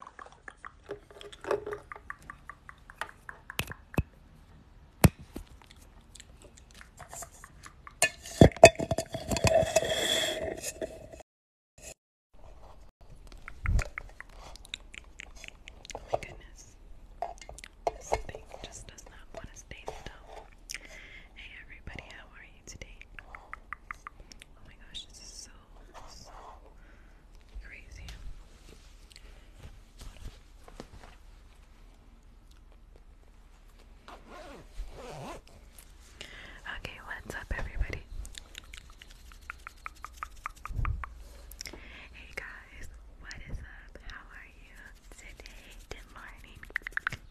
my goodness. This thing just does not want to stay still. Hey everybody, how are you today? Oh my gosh, this is so, so, Okay, what's up, everybody? Hey guys, what is up? How are you today? Good morning.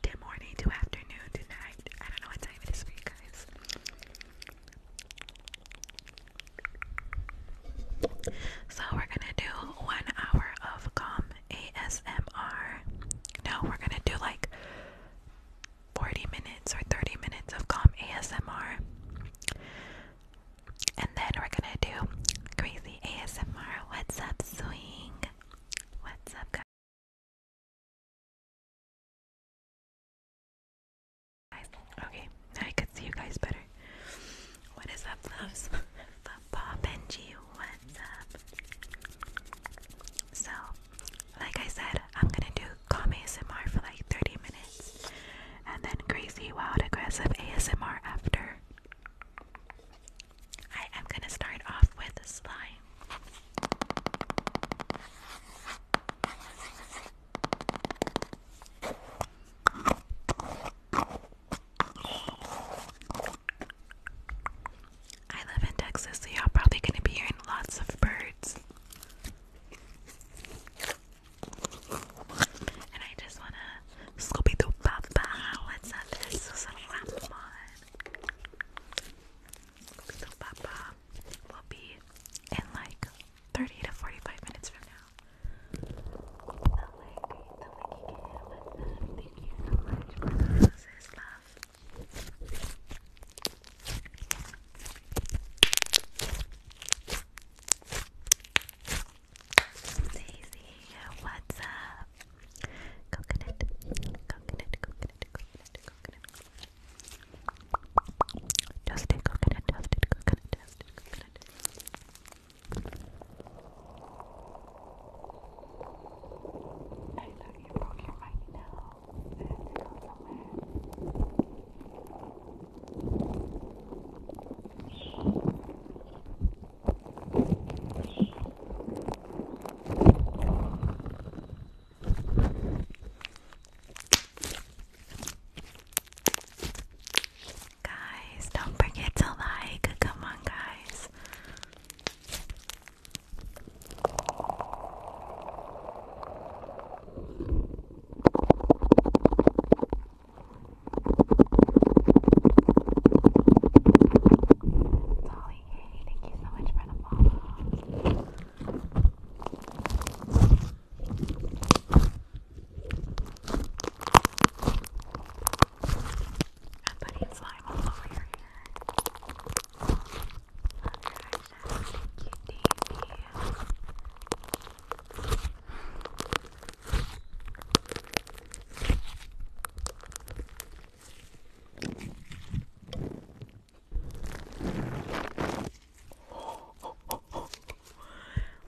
Good morning to afternoon, tonight. I don't know what time it is guys. So we're gonna do one hour of calm ASMR. No, we're gonna do like 40 minutes or 30 minutes of calm ASMR. And then we're gonna do crazy ASMR. What's up, swing? What's up, guys? Okay, I can see you guys better. What is up, Love Papa Benji, what's up? So, like I said, I'm gonna do calm ASMR for like 30 minutes and then crazy, wild, aggressive ASMR after. I am gonna start off with slime. I live in Texas, so y'all probably gonna be hearing lots of birds. And I just wanna Scooby Doo Papa. What's up? This is Susan Ramon. Scooby Doo Papa will be in like 30 to 45 minutes from now. The what's up? Coconut, coconut, coconut, coconut, coconut, Dusted coconut, dusted coconut, dusted coconut. I thought you broke your mic now. I had to go somewhere. Guys, don't forget to like. Come on, guys. Dolly, thank you so much for the follow. I'm putting slime all over your hair. Thank you, Davey.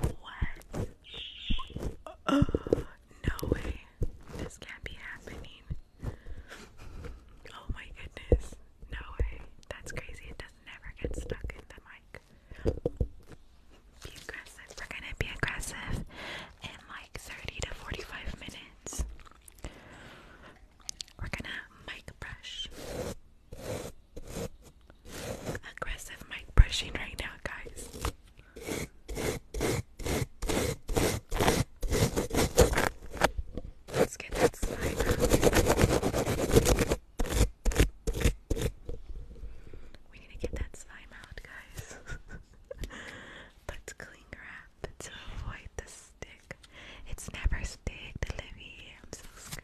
What? Oh, no way. This can't be happening. Oh my goodness. No way. That's crazy. It does never get stuck in the mic. aggressive. We're gonna be aggressive in like 30 to 45 minutes. We're gonna mic brush. Aggressive mic brushing right now, guys. Let's get that slime out. We need to get that slime out, guys. Let's cling wrap to avoid the stick. It's never sticked, Livy. I'm so scared.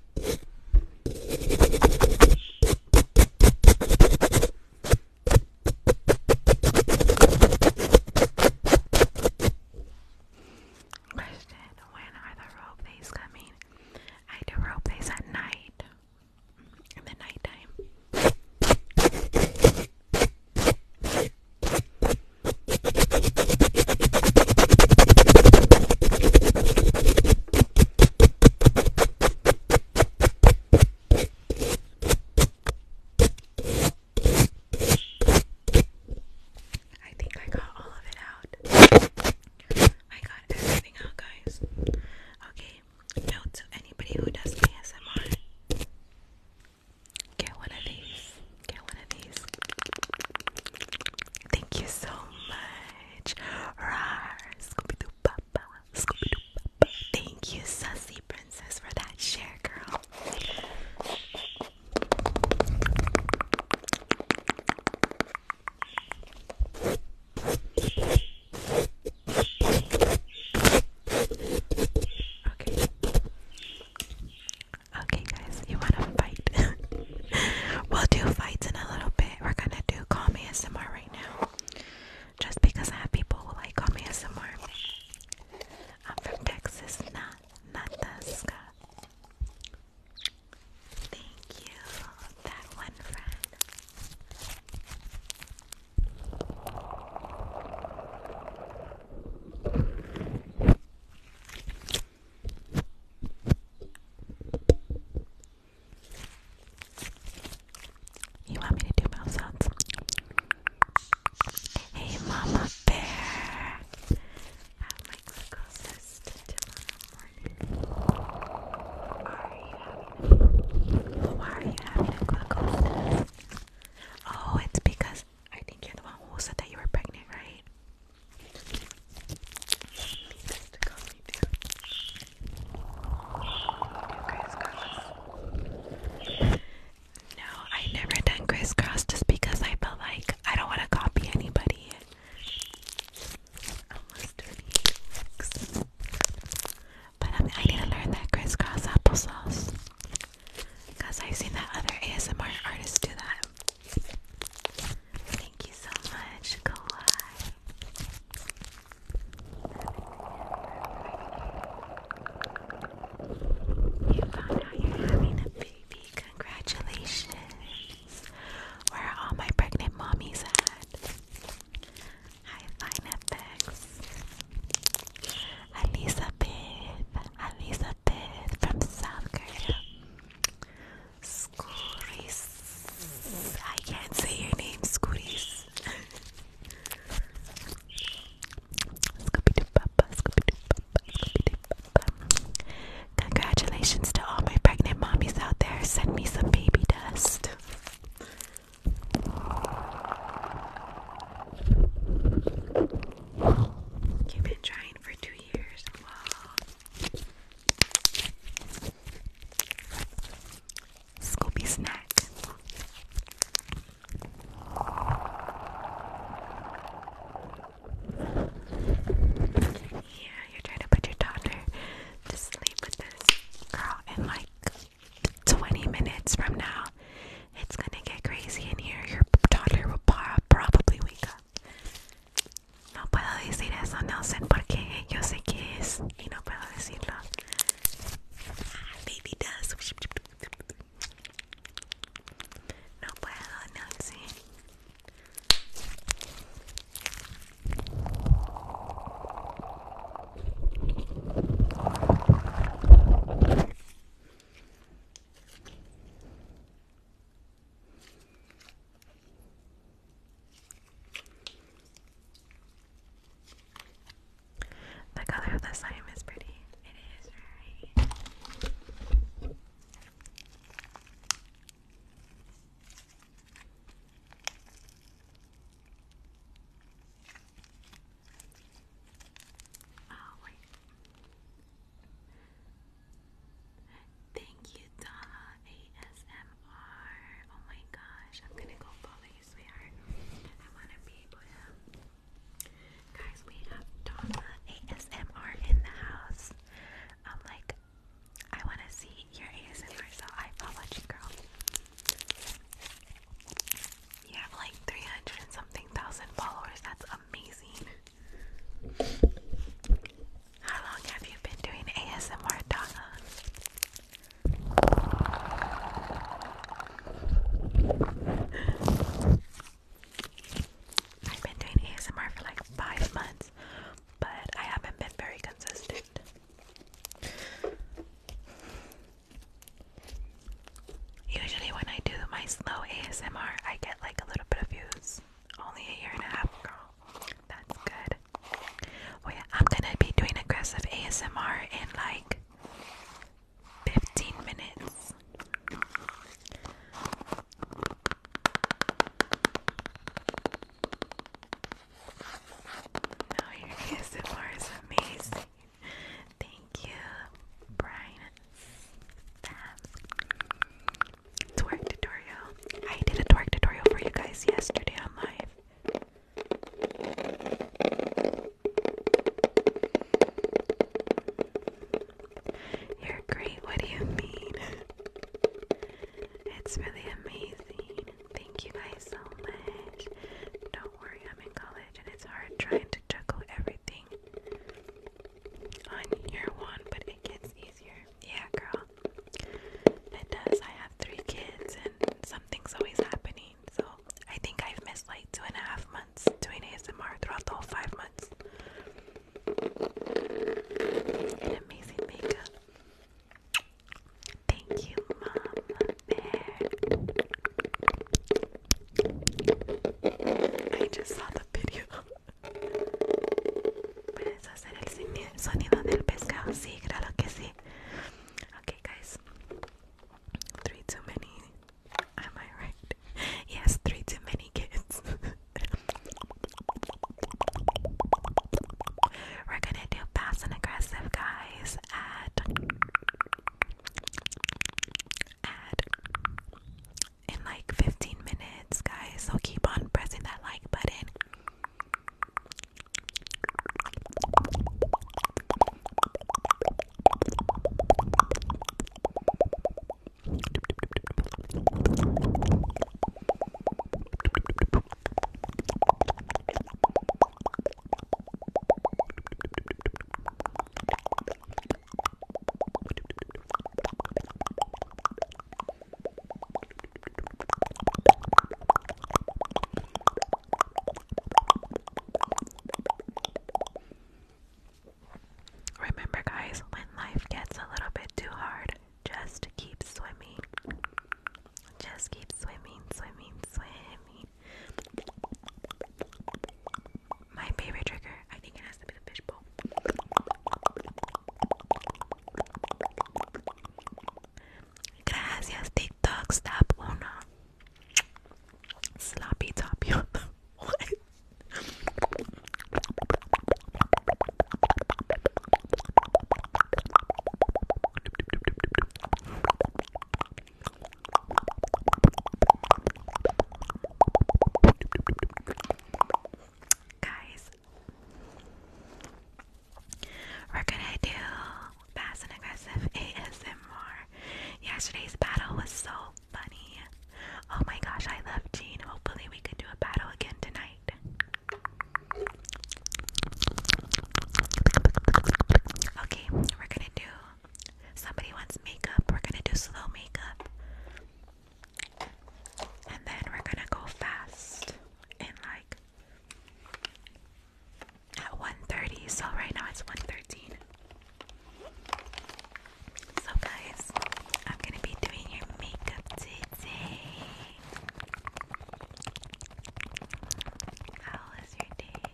Question, when are the rope days coming? I do rope days at night. In the nighttime. I think I got all of it out. I got everything out, guys. Okay, note to anybody who does ASMR. Get one of these get one of these. Thank you so much. Rawr, Thank you, Sussy Princess, for that share, girl. Okay. Okay, guys, you wanna fight? we'll do fights in a little bit. We're gonna do call me ASMR right now, just because I have people who like call me ASMR. I'm from Texas, not Nataska. Thank you, that one friend. You want me to do mouth sounds? Hey, Mama Bear! my glucose Why are you having a glucose test? Oh, it's because I think you're the one who said that you were pregnant, right? No, I never done crisscross just because I felt like I don't want to copy anybody. Almost 20 weeks. But um, I need to learn that crisscross applesauce. Because I've seen that other ASMR artist do that. Thank you so much, Kawhi. You found out you're having a baby. Congratulations. Where are all my pregnant mommies at? Hi, Fine Elizabeth. Elizabeth from South Korea. Skuris. I can't say your name, Skuris. Scooby Doo Papa, Congratulations to all my pregnant mommies out there. Send me some baby dust. You've been trying for two years. Scooby snack. Yeah, you're trying to put your daughter to sleep with this girl in like 20 minutes from now. It's gonna get crazy in here. Your daughter will probably wake up. No puedo decir eso, no sé Yo sé que es y no puedo decirlo. No puedo, no The color of the slime is pretty. It is Oh wait. Thank you, Donna ASMR. Oh my gosh, I'm gonna go follow you, sweetheart. I wanna be able to. Guys, we have Donna ASMR in the house. I'm like, I wanna see your ASMR, so I followed girl. You have like 300 and something thousand followers. That's amazing. How long have you been doing ASMR, Donna? I've been doing ASMR for like five months, but I haven't been very consistent. Usually, when I do my slow ASMR, I get like a little bit of views. Only a year and a half, girl. That's good. Oh I'm gonna be doing aggressive ASMR in like 15 minutes. No, your ASMR is amazing. Thank you, Brian twerk tutorial. I did a twerk tutorial for you guys yesterday on live. You're great, what do you mean? It's really amazing. Thank you guys so much. Don't worry, I'm in college and it's hard trying to juggle everything on year one, but it gets easier. Yeah, girl. It does. I have three kids, and something's always happening. So I think I've missed like two and a half months doing ASMR throughout the whole five months. amazing makeup. Thank you, Mom. I just saw the video. three too many. Am I right? Yes, three too many kids. We're gonna do fast and aggressive, guys. Add, add, in like 15 minutes, guys. So keep on pressing that like button. Remember, guys, when life gets a little bit too hard, just keep swimming. Just keep swimming, swimming, swimming. My favorite trigger, I think it has to be the fishbowl. Gracias TikTok Stop Sloppy Top guys, we're gonna do fast and aggressive ASMR. Yesterday's battle was so funny. Oh my gosh, I love Jean. Hopefully, we can do a battle again tonight. Okay, we're gonna do. Somebody wants makeup. We're gonna do slow makeup. And then we're gonna go fast in like at 1.30. So right now it's 1.13. So guys, I'm gonna be doing your makeup today. How was your day?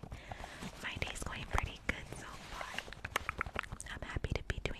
My day's going pretty good so far. I'm happy to be doing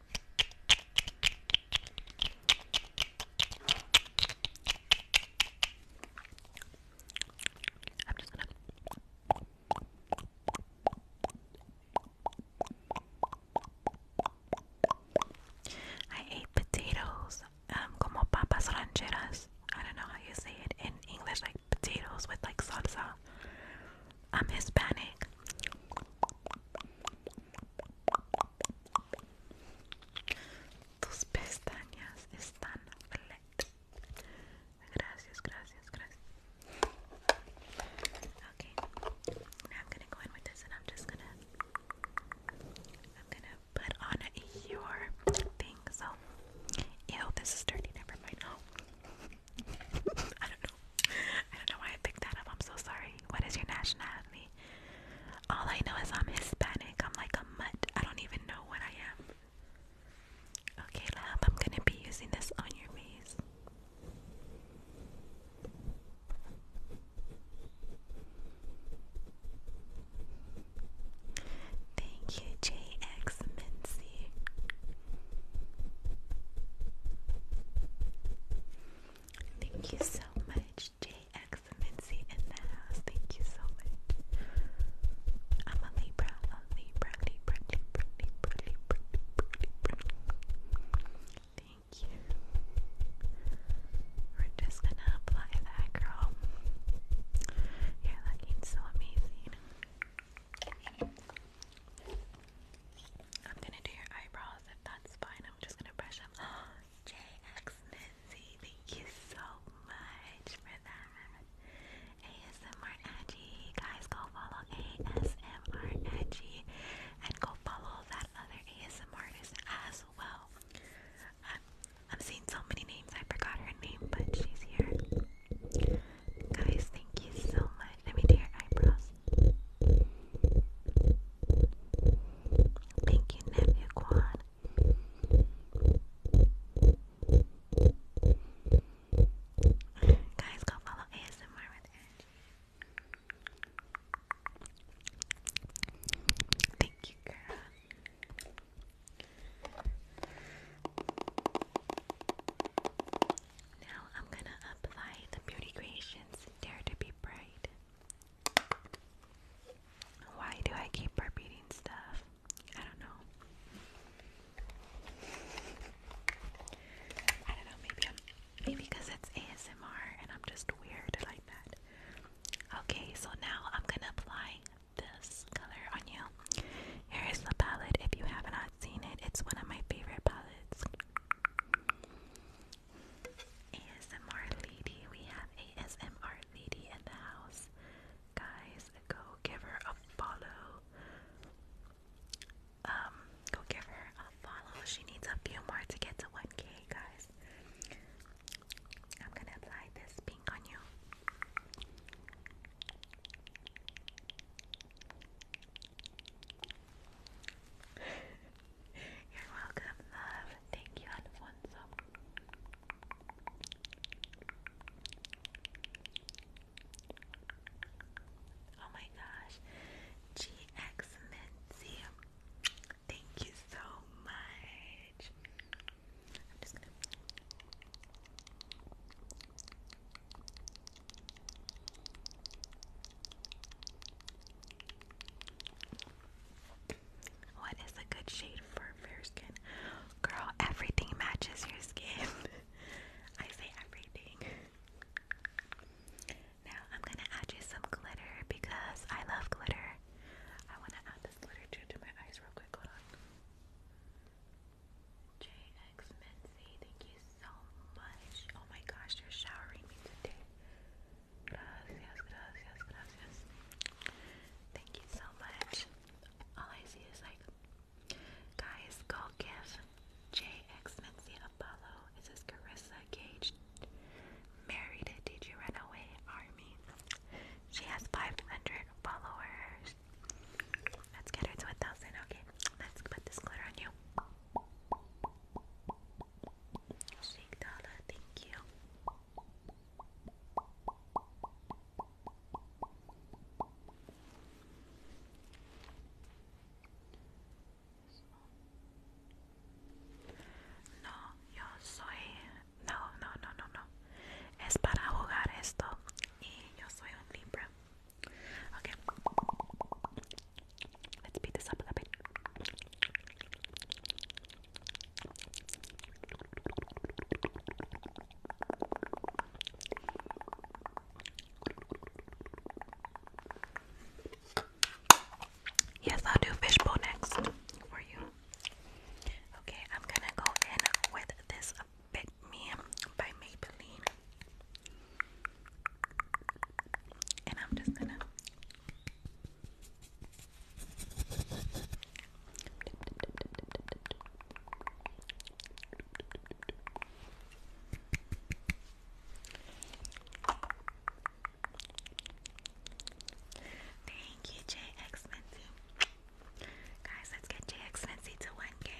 i ate potatoes, um, como papas rancheras. I don't know how you say it in English, like potatoes with like salsa. I'm Hispanic. Tus pestañas están flat. Gracias, gracias, gracias. Okay, now I'm gonna go in with this, and I'm just gonna, I'm gonna put on your thing. So, ew, this is dirty. Never mind. I don't know. I don't know why I picked that up. I'm so sorry. What is your nationality? All I know is I'm Hispanic. I'm like a mutt. I don't even know what I am. Okay, love, I'm gonna be using this on your face. Thank you, JX Mincy. Thank you so much, JX. KX in the house. Thank you so much. I'm a Libra, a Libra, Libra, Libra, Libra, Libra, Libra, Thank you. We're just gonna apply that, girl. You're looking so amazing. I'm gonna do your eyebrows if that's fine. I'm just gonna brush them. JX thank you so much for that. ASMR Edgy, guys, go follow ASMR Edgy and go follow that other ASMR as well. I'm, uh, I'm seeing so many names, I forgot her name, but she's here. Guys, thank you so much. Let me do your eyebrows. Thank you, Nephew Quan. Guys, go follow ASMR with Angie. Thank you, girl. Now I'm gonna apply the Beauty Creations Dare to Be Bright why do I keep repeating stuff? I don't know. I don't know, maybe maybe because it's ASMR and I'm just weird like that. Okay, so now I'm gonna apply this color on you. Here is the palette. If you have not seen it, it's one of my favorite palettes. ASMR lady, we have ASMR lady in the house. Guys, go give her a follow. Um, go give her a follow. She needs a few more to get to 1k, guys. I'm gonna apply this pink on you. You're welcome, love. Thank you, Alfonso. Oh my gosh. GX Minzy. Thank you so much. What is a good shade for fair skin? Girl, everything matches your skin. I say everything. Now I'm gonna add you some glitter because I love glitter. I wanna add this glitter to my eyes real quick. JX Mincy, thank you so much. Oh my gosh, you're showering me today. Gracias, gracias, gracias. Thank you so much. All I see is like, guys, go give JX Nancy Apollo. It says Carissa Gage married a DJ Runaway Army. She has 500 followers. Let's get her to 1,000. Okay, let's put this glitter on you. Sí, thank you. No, yo soy... No, no, no, no, no. Es para jugar esto. Y yo soy un Libra. Ok. Let's beat this up a little bit. Yes, I'll do fishbowl next for you. Okay, I'm gonna go in with this Big Me by Maybelline. And I'm just gonna Thank you, JX Minzy. Guys, let's get JX Minzy to 1K.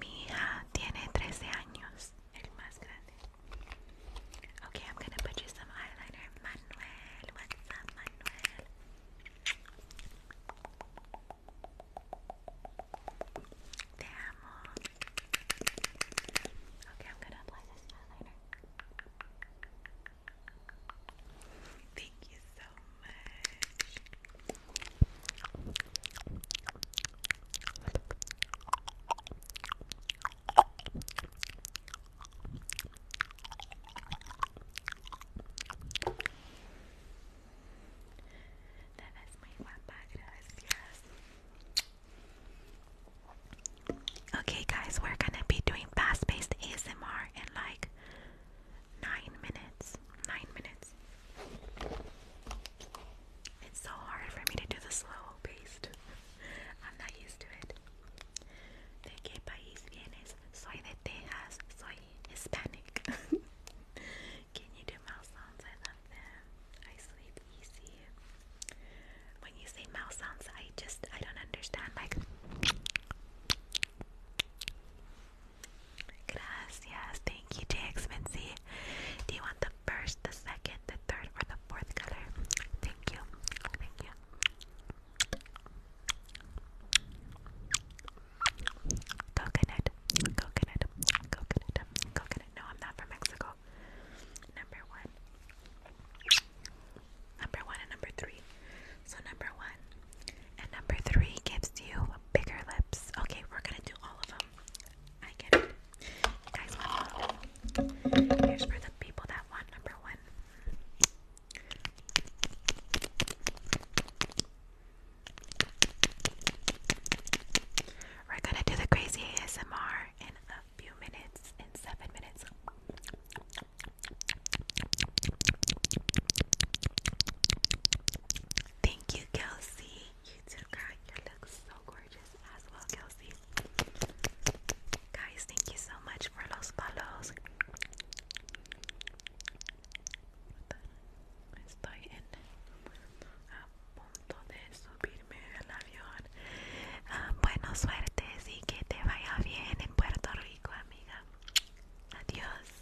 Mi hija tiene 13 años, el más grande. Okay, I'm gonna put you some eyeliner. Manuel, what's up, Manuel? Te amo. Okay, I'm gonna apply this eyeliner. Thank you so much. Nada es guapa, gracias. Okay, guys, we're gonna be doing fast paced ASMR and like nine minutes. Nine minutes. It's so hard for me to do the slow paced. I'm not used to it. ¿De qué país vienes? Soy de Texas. Soy Hispanic. Can you do mouth sounds? I love them. I sleep easy. When you say mouth sounds, I just I don't understand. Like Gracias. Thank you, JX Mincy. Do you want the first, the second, the third, or the fourth color? Thank you. Thank you. Coconut. Coconut. Coconut. Coconut. No, I'm not from Mexico. Number one number one and number three. So, number one and number three gives you bigger lips. Okay, we're gonna do all of them. I get it. guys want all of Here's for the people that want number one. We're gonna do the crazy ASMR in a few minutes, in seven minutes. Thank you, Kelsey. You too, girl. You look so gorgeous as well, Kelsey. Guys, thank you so much for los follows. Estoy en a punto de subirme al avión. Uh, bueno, suerte, sí, que te vaya bien en Puerto Rico, amiga. Adios.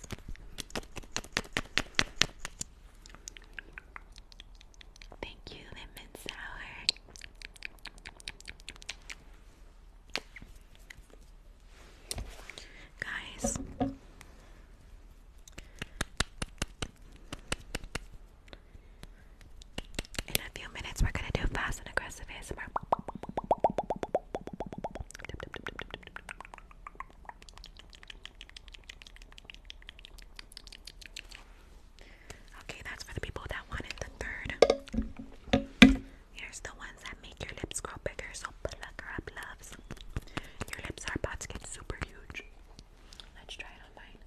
Thank you, Lemon Sour. Guys, in a few minutes, we're going to do fast and aggressive Okay, that's for the people that wanted the third. Here's the ones that make your lips grow bigger, so plug her up, loves. Your lips are about to get super huge. Let's try it on mine.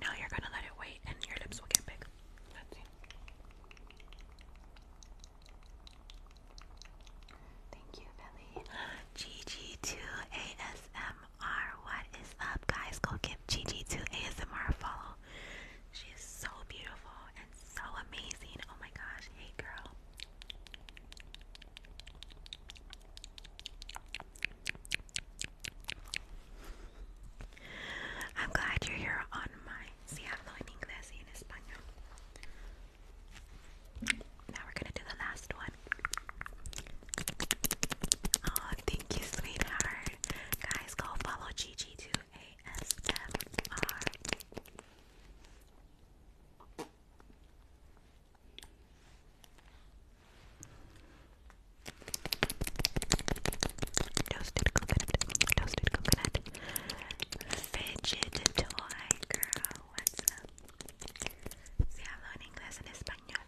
Now you're gonna let it wait and your lips will get big. Thank you, Billy. GG2ASMR. What is up, guys? Go give GG2ASMR a follow. She is so beautiful so amazing. Oh my gosh. Hey, girl. I'm glad you're here on my. Now we're gonna do the last one. Oh, thank you, sweetheart. Guys, go follow Gigi to a ASMR. Toasted coconut, toasted coconut, fidget toy girl. What's up? Si hablo en inglés en español.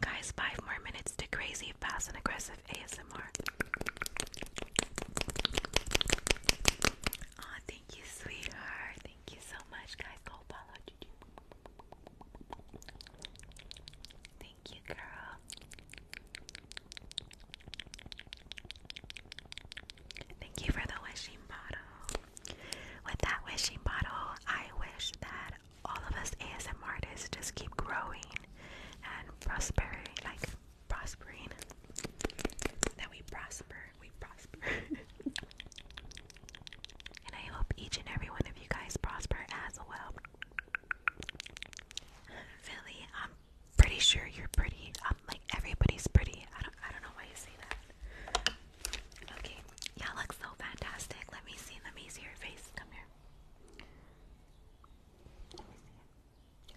Guys, five more minutes to crazy, fast, and aggressive ASMR. Oh, thank you, sweetheart. Thank you so much, guys. Go follow Thank you, girl. Thank you for the wishing bottle. With that wishing bottle, I wish that all of us ASM artists just keep growing and prospering, like prospering. That we prosper, we prosper. and I hope each and every one of you guys prosper as well. Philly, I'm pretty sure you're pretty. Um, like everybody's pretty. I don't, I don't know why you say that. Okay, y'all look so fantastic. Let me see. Let me see your face. Come here. Let me see it.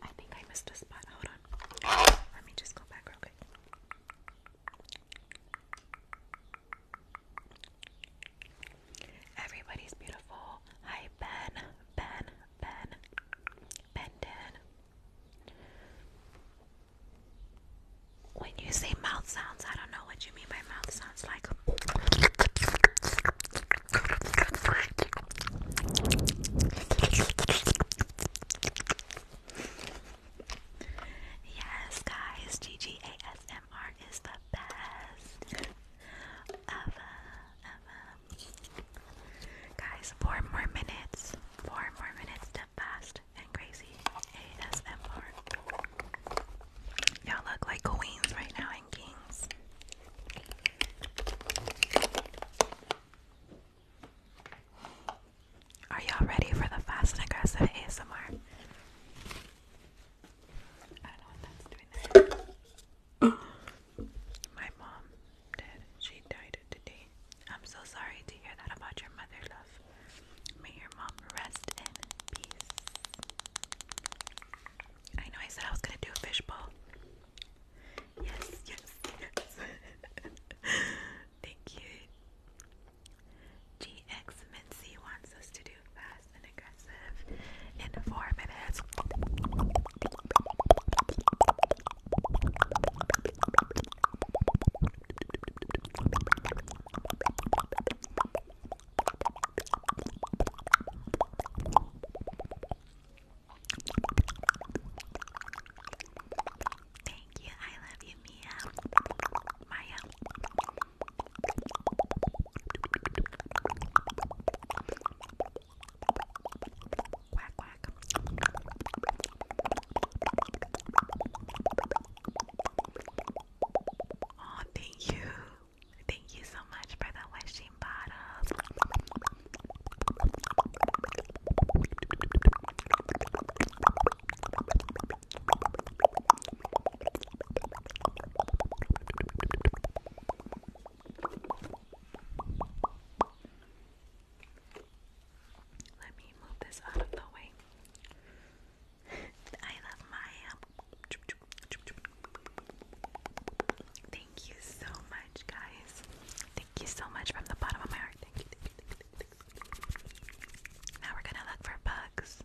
I think I missed a spot. Hold on. Let me just go back real quick. Everybody's beautiful. Hi, Ben. Ben. Ben. Benden. When you say mouth sounds, I don't know what you mean by mouth sounds like. Yes, guys, GGASMR is the best uh, uh, Guys, four more minutes, four more minutes to fast and crazy ASMR. Y'all look like queens right now. Are y'all ready for the fast and aggressive ASMR? My mom did. She died today. I'm so sorry to hear that about your mother, love. May your mom rest in peace. I know I said I was gonna do a fishbowl, Yes, yes, yes. Thank you. GX wants us to do fast and aggressive in four minutes. Thank you. I love you, Mia. Maya. Oh, thank you. Thank you so much for the wishes protein Let me move this out of the way. I love Maya. Um, Thank you so much, guys. Thank you so much from the bottom of my heart. Now we're gonna look for bugs.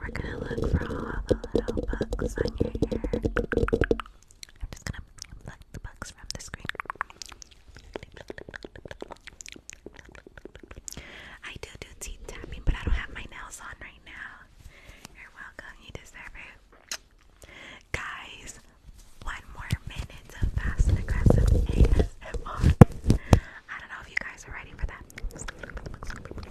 We're gonna look for all the little bugs on your hair. I'm just gonna pluck the bugs from the screen. I do do teeth tapping, but I don't have my nails on right now. You're welcome, you deserve it. Guys, one more minute of fast and aggressive ASMR. I don't know if you guys are ready for that. I'm just gonna look for all the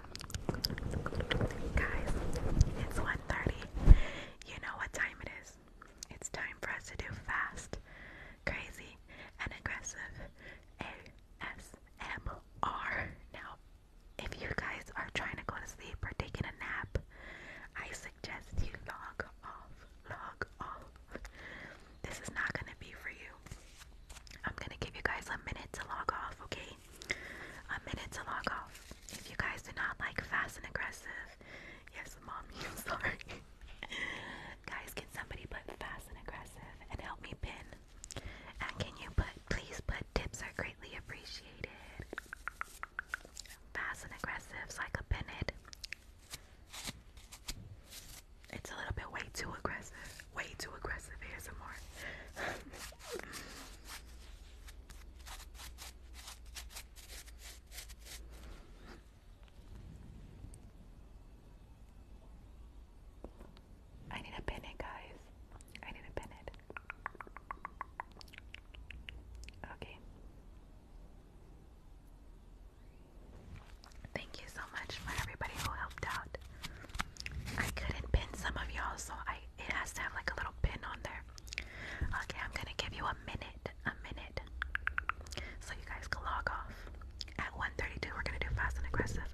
Guys, it's 1.30. You know what time it is. It's time for us to do fast, crazy, and aggressive ASMR. Now, if you guys are trying to go to sleep or taking a nap, I suggest you log off. Log off. This is not going to be for you. I'm going to give you guys a minute to log off, okay? a minute to log off. If you guys do not like fast and aggressive, yes, mommy, sorry. guys, can somebody put fast and aggressive and help me pin? And can you put, please put tips are greatly appreciated. Fast and aggressive so I could pin it. It's a little bit way too aggressive. Way too aggressive ASMR. I need to pin guys. I need to pin Okay. Thank you so much for everybody who helped out. I couldn't pin some of y'all, so I it has to have like a little pin on there. Okay, I'm gonna give you a minute, a minute, so you guys can log off. At 1:32, we're gonna do fast and aggressive.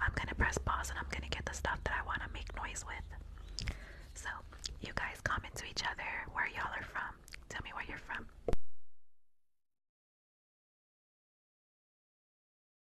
I'm gonna press pause and I'm gonna get the stuff that I wanna make noise with. So you guys comment to each other where y'all are from. Tell me where you're from.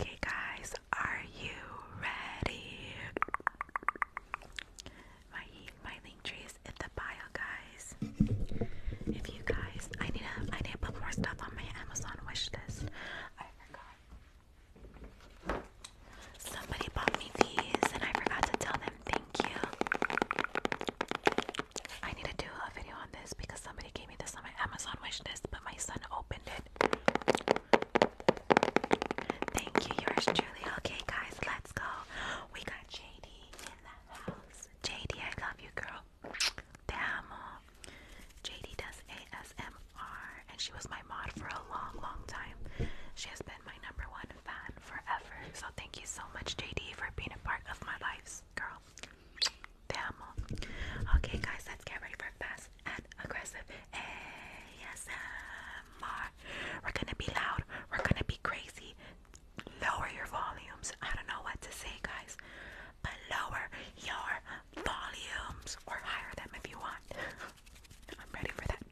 Okay, guys, are you ready? My my link tree in the bio, guys. If you guys, I need to need to put more stuff on my Amazon wish list. I forgot. Somebody bought me these and I forgot to tell them thank you. I need to do a video on this because somebody gave me this on my Amazon wish list, but my son opened it. Thank you, yours truly. Okay, guys, let's go. We got JD in the house. JD, I love you, girl. Te JD does ASMR, and she was my mod for a long, long time. She has been my number one fan forever. So thank you so much, JD, for being a part of my lives, girl. Te Okay, guys, let's get ready for fast and aggressive ASMR. We're gonna be loud. We're gonna be crazy. Lower your volumes. I don't know what to say, guys lower your volumes or higher them if you want. I'm ready for that.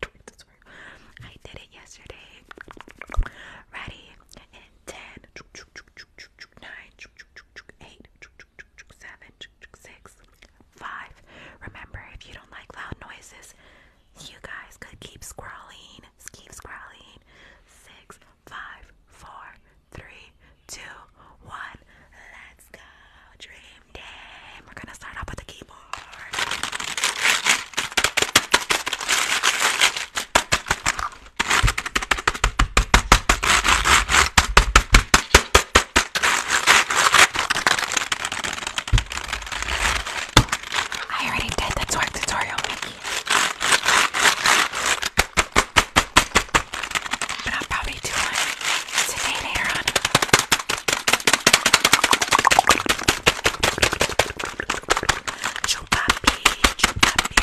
I did it yesterday. Ready in 10, Remember, if you don't like loud noises, you guys could keep scrolling, keep scrolling. Six, five, four, three, two, one. Let's go. Dream team. We're gonna start off with the keyboard. I already did the twerk tutorial, but I'll probably do one today later on. Chupapi, chupapi.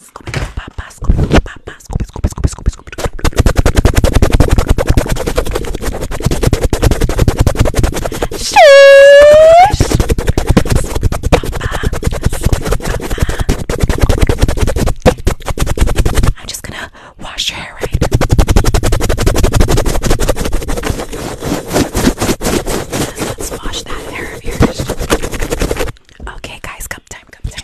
Scooby Doo Papa, Scooby Doo Papa, Scooby Scooby Scooby Scooby Scooby Doo. Sheesh. Scooby Papa, Scooby Papa. I'm just gonna wash your hair right. Let's wash that hair of yours. Okay, guys, come time, come time.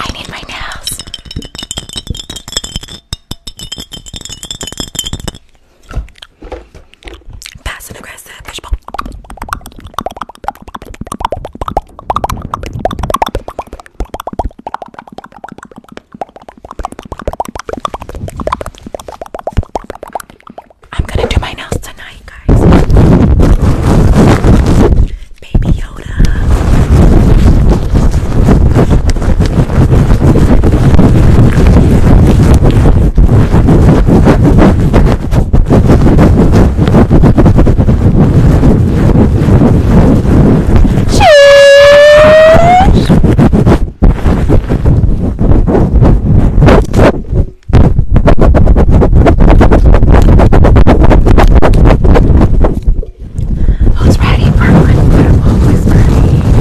I need my nails. Passing aggressive fishbowl. I'm gonna do my nails tonight, guys. Baby Yoda. Who's ready for one football with Bernie?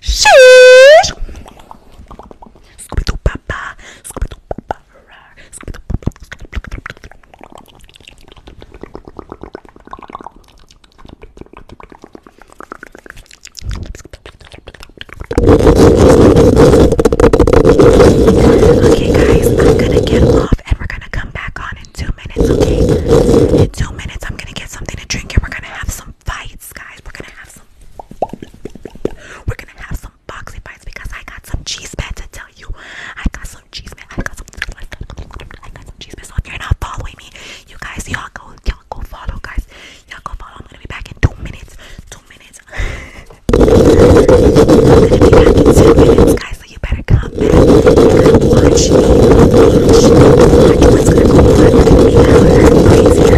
Shh. Okay, guys, I'm gonna get off and we're gonna come back on in two minutes, okay? In two minutes, I'm gonna get something to drink and we're gonna have some some fights, guys. We're gonna have some. We're gonna have some boxing fights because I got some cheese man to tell you. I got some cheese man. I got some. I got some cheese man. So if you're not following me, you guys, y'all go, y'all go follow, guys. Y'all go follow. I'm gonna be back in two minutes. Two minutes. I'm gonna be back in two minutes, guys. So you better come back. Watch me. Watch me. Watch what's gonna go on. Because I'm crazy.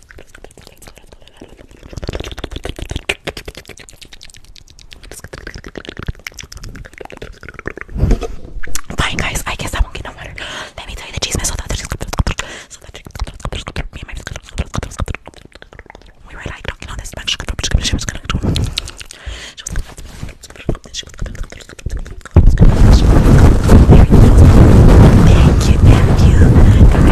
Fine, guys. I guess I won't get no water. Let me tell you the cheese mess. So that me and my we were like talking on this bench. She was gonna do it. She was gonna Thank you, thank you.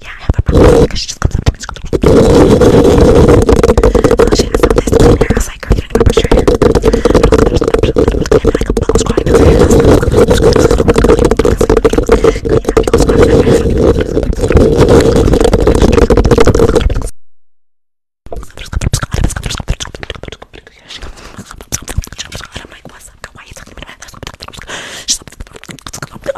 Yeah, I have a problem because she just comes up to me and she has all this clean hair. I was like, girl, you don't even brush your hair. And then I go buckle squatting. I was like, buckle squatting. I was like, buckle squatting. She comes up, she comes up, she comes up, and I'm like, what's up, girl? Why are you talking to me? She's like,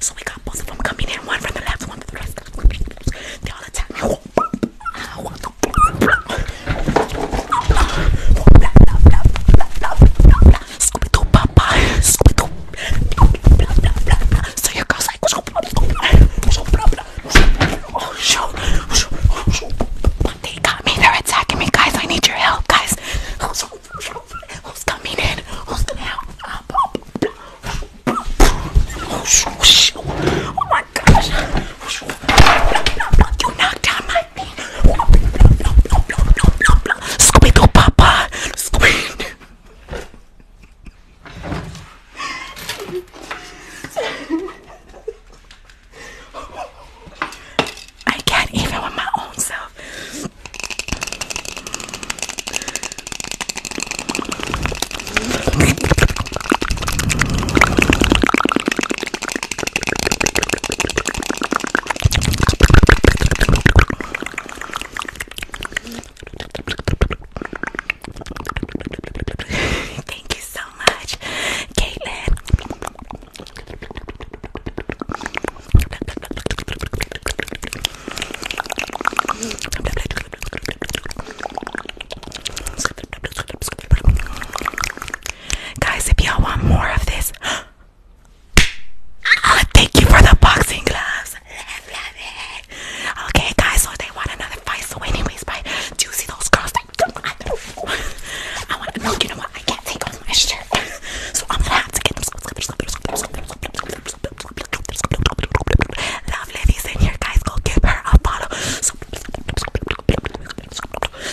so we got both of them coming in, one from the left, one from the right. They all attack me. Scooby Doo, Papa, Scooby Doo. So your girl's like, oh shoot, they got me. They're attacking me, guys. I need your help, guys. Who's coming in? Who's gonna Oh my gosh. you knocked out my thing. Squeakle papa. I can't even with my own self. Thank you so much, Caitlin. Guys, if y'all want more of this, thank you for the boxing gloves. Okay, guys, so they want another fight. So, anyways, bye. Do those girls? That, I want to know. You know what? I can't take off my shirt, so I'm gonna have to get them. Love Livy's in here, guys. Go give her a follow. So,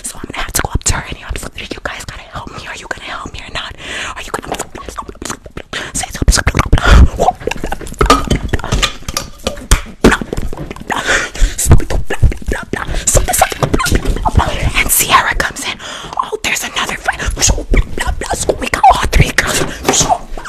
so I'm gonna have to go up to her and you, know, you guys gotta help me. Are you gonna help me or not? Are you gonna say and Sierra comes in. Oh, there's another fight. We got all three girls.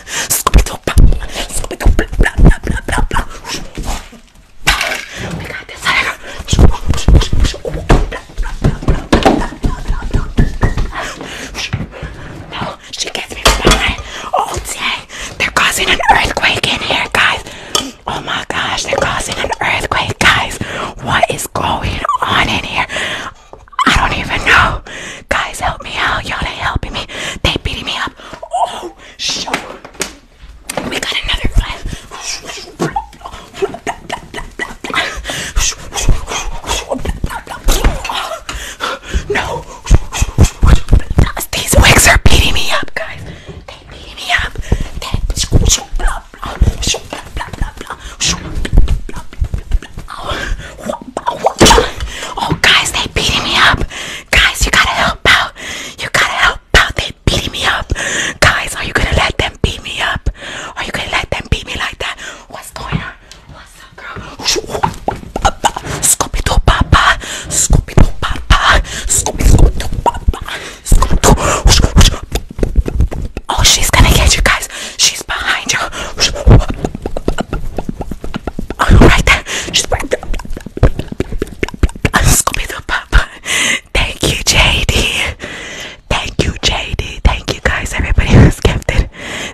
We oh got this. No, oh, she gets me behind all day. They're causing an earthquake in here, guys. Oh my gosh, they're causing an earthquake, guys. What is going on in here? I don't even know. Guys, help me out. Y'all ain't helping me. They beating me up. Oh, shoot. We got another flash. No. These wigs are beating me up, guys. They beating me up. They Oh, Oh, guys, they beating me up. Guys, you gotta help out. You gotta help out. They beating me up. Guys, are you gonna let them beat me up? Are you gonna let them beat me like that? What's going on? What's up, girl? Scooby Doo Papa. Scooby Doo Papa. Scooby Doo Papa. Scooby Doo. Oh, she's gonna get you guys. She's behind you. Right there. She's right there. Scooby the Papa. Thank you, JD. Thank you, JD. Thank you, guys. Everybody who's gifted.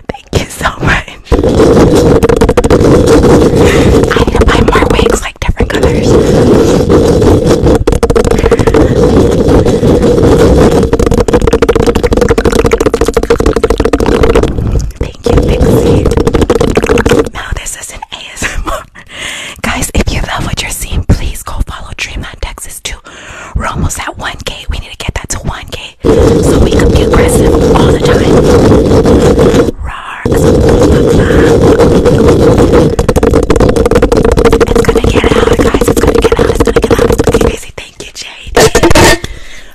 Thank you so much. I need to buy more wigs, like different colors. Thank you, Pixie. Now this is an ASMR. Guys, if you love what you're seeing, please go follow Dreamland Texas too. We're almost at 1K. We need to get that to 1K so we can be aggressive all the time. It's gonna get out, guys. It's gonna get out. It's gonna get out. It's Thank you, Jade.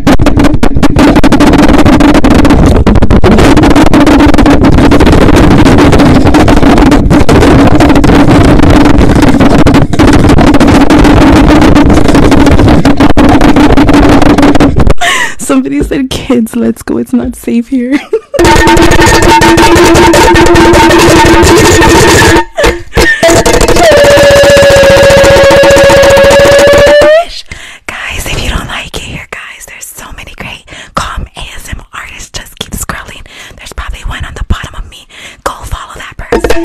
Somebody said, kids, let's go. It's not safe here. Guys, if you don't like it here, guys, there's so many great calm ASM artists. Just keep scrolling. There's probably one on the bottom of me. Go follow that person.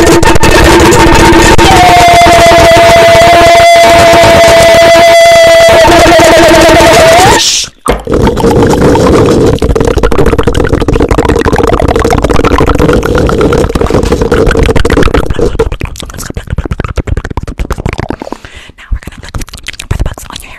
Shh. Now we're gonna look for the bugs on your hair.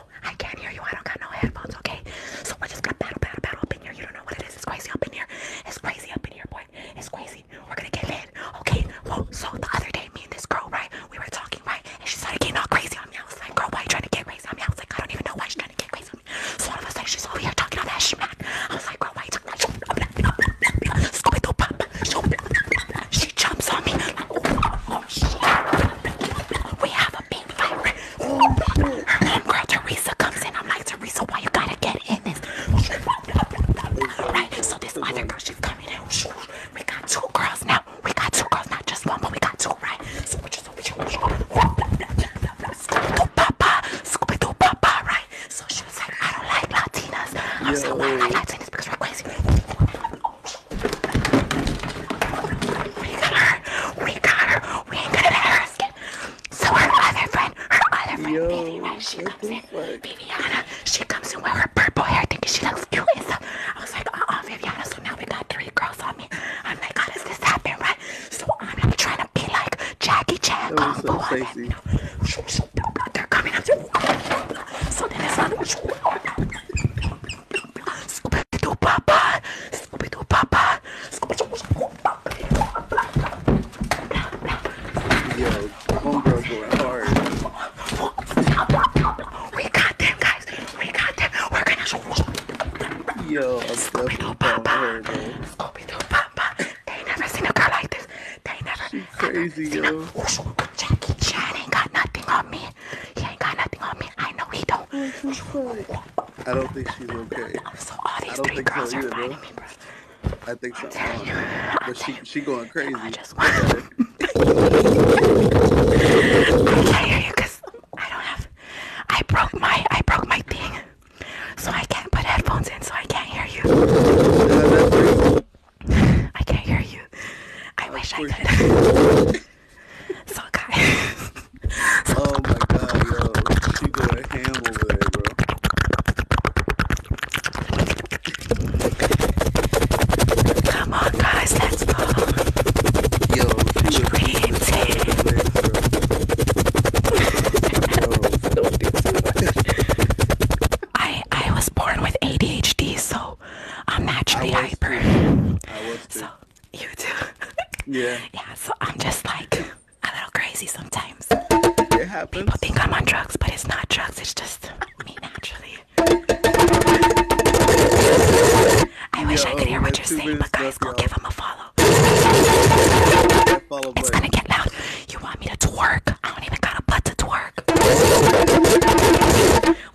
I can't hear you. I don't got no headphones, okay? So we just got battle, battle, battle up in here. You don't know what it is. It's crazy up in here. It's crazy up in here, boy. It's crazy. We're gonna get lit, okay? Whoa, so the other day, me and this girl, right? We were talking, right? And she started getting all crazy on me. I was like, girl, why you trying to get crazy on me? I was like, I don't even know why she's trying to get crazy on me. So all of a sudden, she's over here talking all that smack. I was like, girl, why are you talking like she jumps on me. oh, oh, oh we have a big fight. Her homegirl Teresa comes in. I'm like, Teresa, why you gotta get in this? Right? So this other girl, she's coming in. We got two girls now. We got two girls, not just one, but we got two, right? So we just Scooby-Doo Papa, Scooby-Doo Papa, right? So she was like, I don't like Latinas. I'm yeah, so I like Latinas because we're crazy. We got her. We got her. We ain't gonna let her escape. So our other friend, her other friend, Yo, Baby, right? She comes in. Like... Viviana, she comes in with her purple hair thinking she looks cute and I was like, uh oh, Viviana. So now we got three girls on me. I'm like, how does this happen, right? So I'm like, trying to be like Jackie Chan. That was so sexy. They're coming So then it's like, Scooby Doo Papa, Scooby Doo Papa, Scooby Doo Papa. Yo, homegirls going hard. We got them, guys. We got them. We're gonna. Yo, Scooby Doo Papa, Scooby Doo Papa. They never seen a girl like this. They never. She's crazy, yo. Jackie Chan ain't got nothing on me. He ain't got nothing on me. I know he don't. Oh, I don't think she's okay. I don't think so either, bro. I think so. Um, but she she going crazy. I just want I'm I don't have. I broke my I broke my thing, so I can't put headphones in, so I can't hear you. I can't hear you. I wish I could. So oh my god, yo, she going ham over there, bro. Come on, guys, let's go. Yo, she Dream was bro. I I was born with ADHD, so I'm naturally hyper. You do? Yeah. Yeah, so I'm just like a little crazy sometimes. It happens. People think I'm on drugs, but it's not drugs, it's just me naturally. I wish I could oh, hear what you're saying, but guys, go give him a follow. follow it's gonna get loud. You want me to twerk? I don't even got a butt to twerk.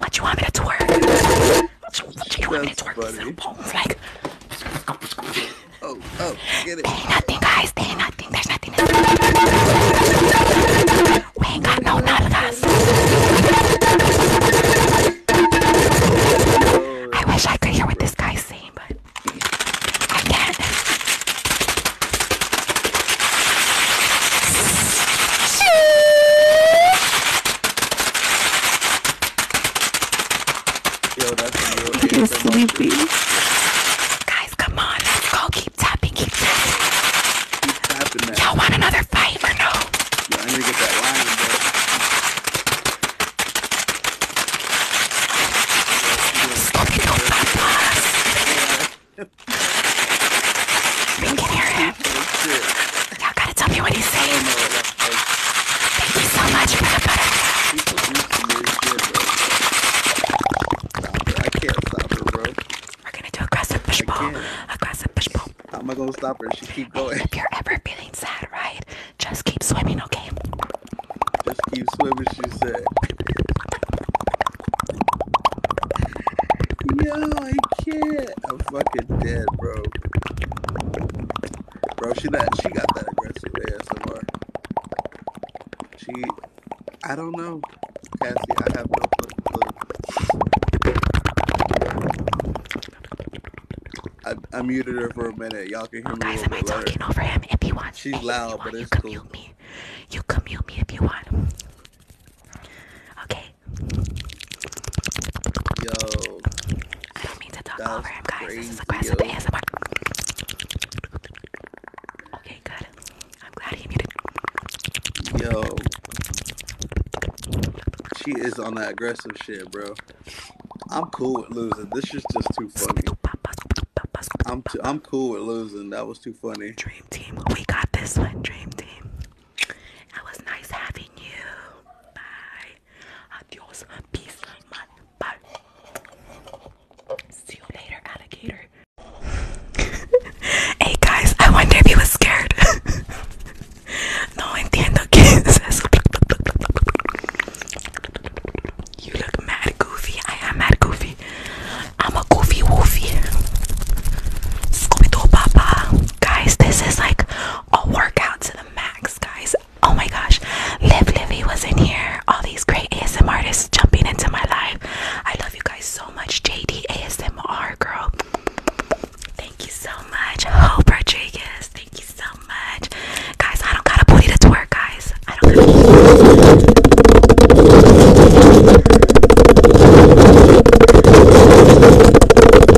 What you want me to twerk? There oh, oh, ain't nothing, guys. There ain't nothing. There's nothing. we ain't got no nalgas. I wish I could hear what this guy's saying, but I can't. Yo, You're sleepy. Guys, come on. Let's go. Keep tapping. Keep tapping. Y'all want another fight or no? Yeah, I need to get that line, bro. We can hear him. Y'all gotta tell me what he's saying. Thank you so much for the butter. I can't stop her, bro. We're gonna do aggressive pushball. Aggressive pushball. How am I gonna stop her? She keep going. If you're ever feeling sad, right? Just keep swimming, okay? Just keep swimming, she said. Yo, I can't. I'm fucking dead, bro. Bro, she that she got that aggressive ASMR. She, I don't know, Cassie. I have no clue. I, I muted her for a minute. Y'all can hear me a little bit am she's loud, but it's you cool. Mute me. You can mute me if you want. Okay. Yo. I don't mean to talk over him, guys. this aggressive ASMR. Okay, good. I'm glad he muted. Yo. She is on that aggressive shit, bro. I'm cool with losing. This is just too funny. I'm I'm cool with losing. That was too funny. Dream team, we got this one. Dream team. That was nice having you. Bye. Adios. Peace. Man. Bye. See you later, alligator. hey guys, I wonder if he was scared. no entiendo que es eso. You look mad goofy. I am mad goofy. I'm a goofy woofy. Scooby Doo Papa. Guys, this is like a workout to the max, guys. Oh my gosh, Liv Livy was in here. All these great ASMR artists jumping into my life. I love you guys so much. JD ASMR girl. Thank you so much. Hope Rodriguez. Thank you so much. Guys, I don't got a booty to twerk, guys. I don't gotta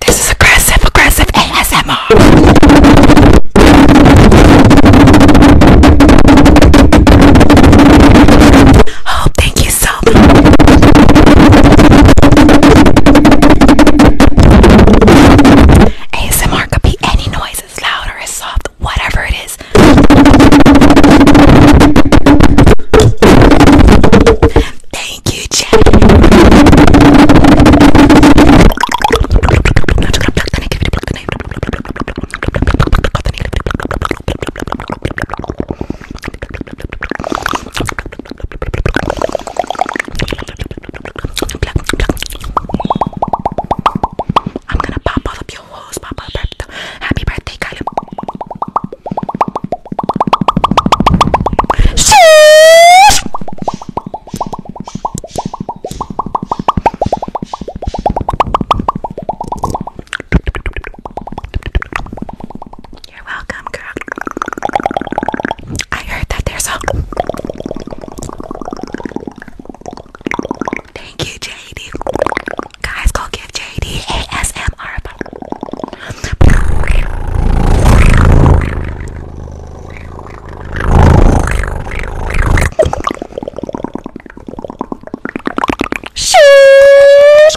This is aggressive, aggressive ASMR. Oh, thank you so much. ASMR could be any noise, as loud or as soft, whatever it is. Thank you, Jack. I'm gonna pop all of your holes, pop up. Happy birthday, Kylie. Sheesh! You're welcome, girl. I heard that there's a. Thank you, JD. Guys, go give JD ASMR. Sheesh.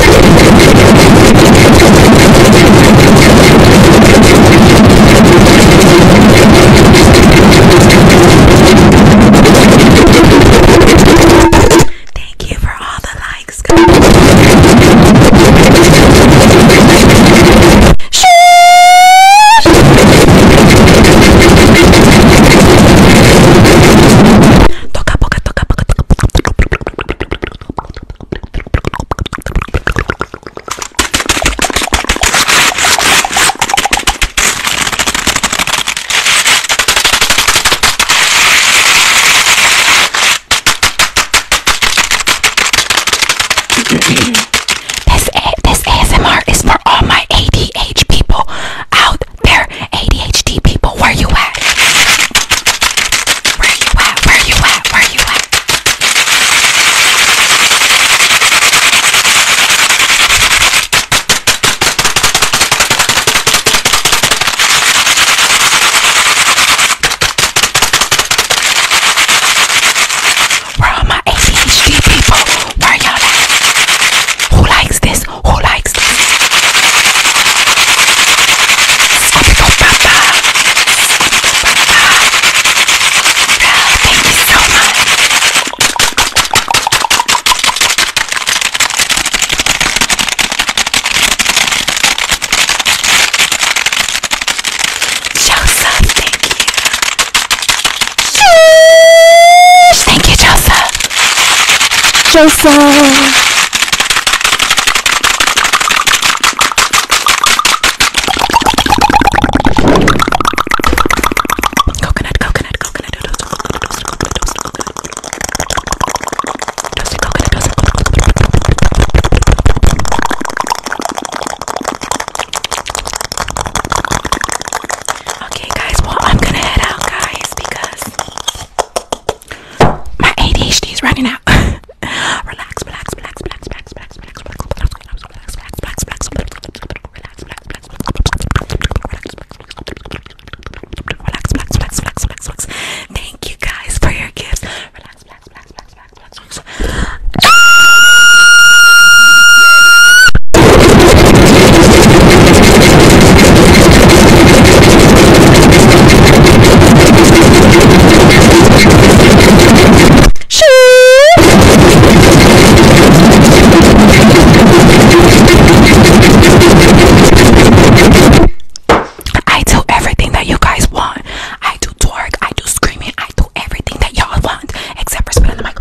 Thank you for all the likes. Toca, toca, toca, toca, toca, toca, toca, toca this this ASMR is for all my ADHD people out there. ADHD people, where you at? Where you at? Where you at? Where you at? Where are my ADHD people? Where y'all at? Who likes this? Who likes this? thank you so much. Joseph, thank you. Sheesh, thank you, Joseph. Joseph. Coconut, coconut, coconut, toast, coconut, toast, coconut, toast, coconut, toast, coconut, toast, Okay, guys. Well, I'm gonna head out, guys, because my ADHD is running out. Relax, relax, relax, relax, relax, relax, relax, relax, relax, relax, relax, relax, relax, relax, relax, Thank you guys for your gifts. Relax, relax, relax, relax, relax, relax. I do everything that you guys want. I do twerk, I do screaming, I do everything that y'all want, except for spinning the mic.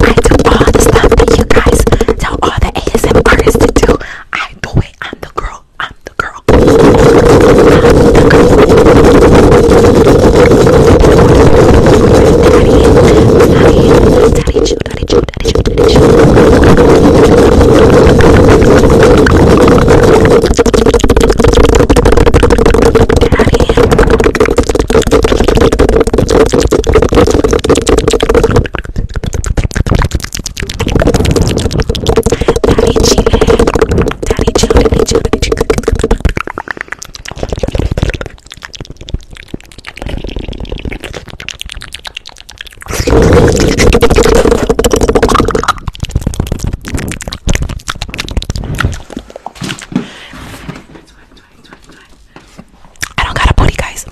I do all the stuff that you guys tell all the ASM artists to do. I do it. I'm the girl I'm the girl. I'm the girl. Daddy, daddy, chew, daddy, chew, daddy, chew, daddy, chew. Daddy. I don't got a booty, guys,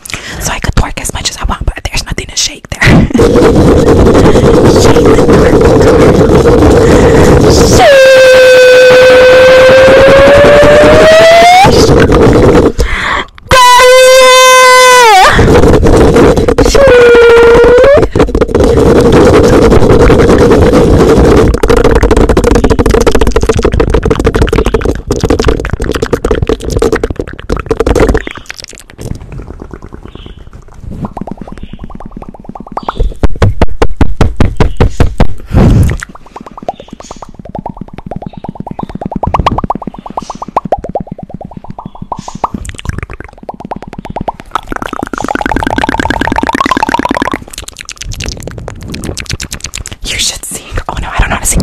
so I could twerk as much as I want, but there's nothing to shake shake there. shake the purple color. Shake. You should sing. Oh no, I don't know how to sing.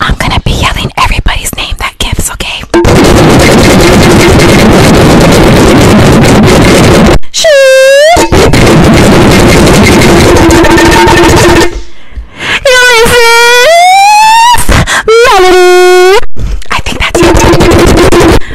I'm gonna be yelling everybody's name that gives, okay? She Melody I think that's it.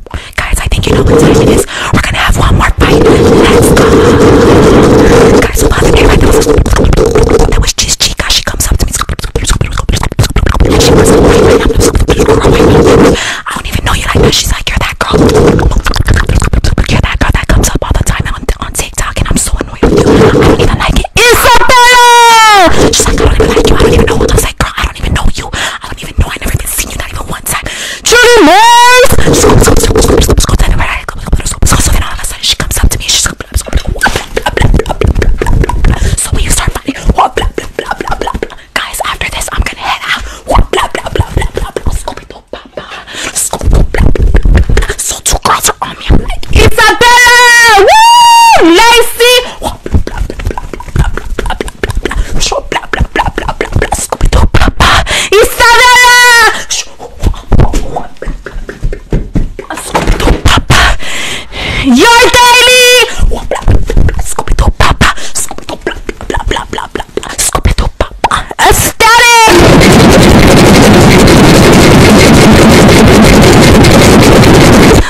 Guys, I think you know what time it is. We're gonna have one more fight. Let's go. Guys, hold on to me right now. That was Chica. She comes up to me. I don't even know you like that. She's like, you're that girl. You're that girl that comes up all the time on, on TikTok, and I'm so annoyed I don't even like it. Isabella! She's like, I don't even like you. I don't even know what I girl. I don't even know you. I don't even know. I never even seen you, not even one time. Trudy Mays! So, so, so, so, so, so, then all of a sudden she comes up to me and she's like, blah, blah, blah, blah, blah, blah, blah, blah. So when you start fighting, blah, blah, blah, blah, blah, blah. Guys, after this, I'm gonna head out. Blah, blah, blah, blah, blah, blah, blah. Scooby-Doo, papa. Scooby-Doo, blah, blah, blah, blah. So two girls are on me. I'm like, Isabella! Woo! Lacey! Blah, blah, blah, blah, blah, blah, blah, blah, blah bla bla bla bla bla bla Scooby-Doo papá Isabela Scooby-Doo papá Your Daily Scooby-Doo papá Scooby-Doo bla bla bla bla bla bla Scooby-Doo papá Aesthetic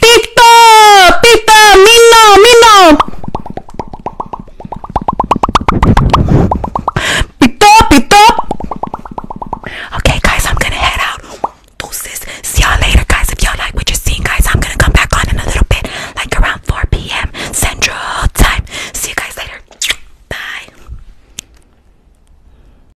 Pita! Pita! Mino! Mino! Pita! Pita! Okay, guys, I'm gonna head out. Deuces. See y'all later, guys. If y'all like what you're seeing, guys, I'm gonna come back on in a little bit, like around 4 p.m. Central Time. See you guys later. Bye.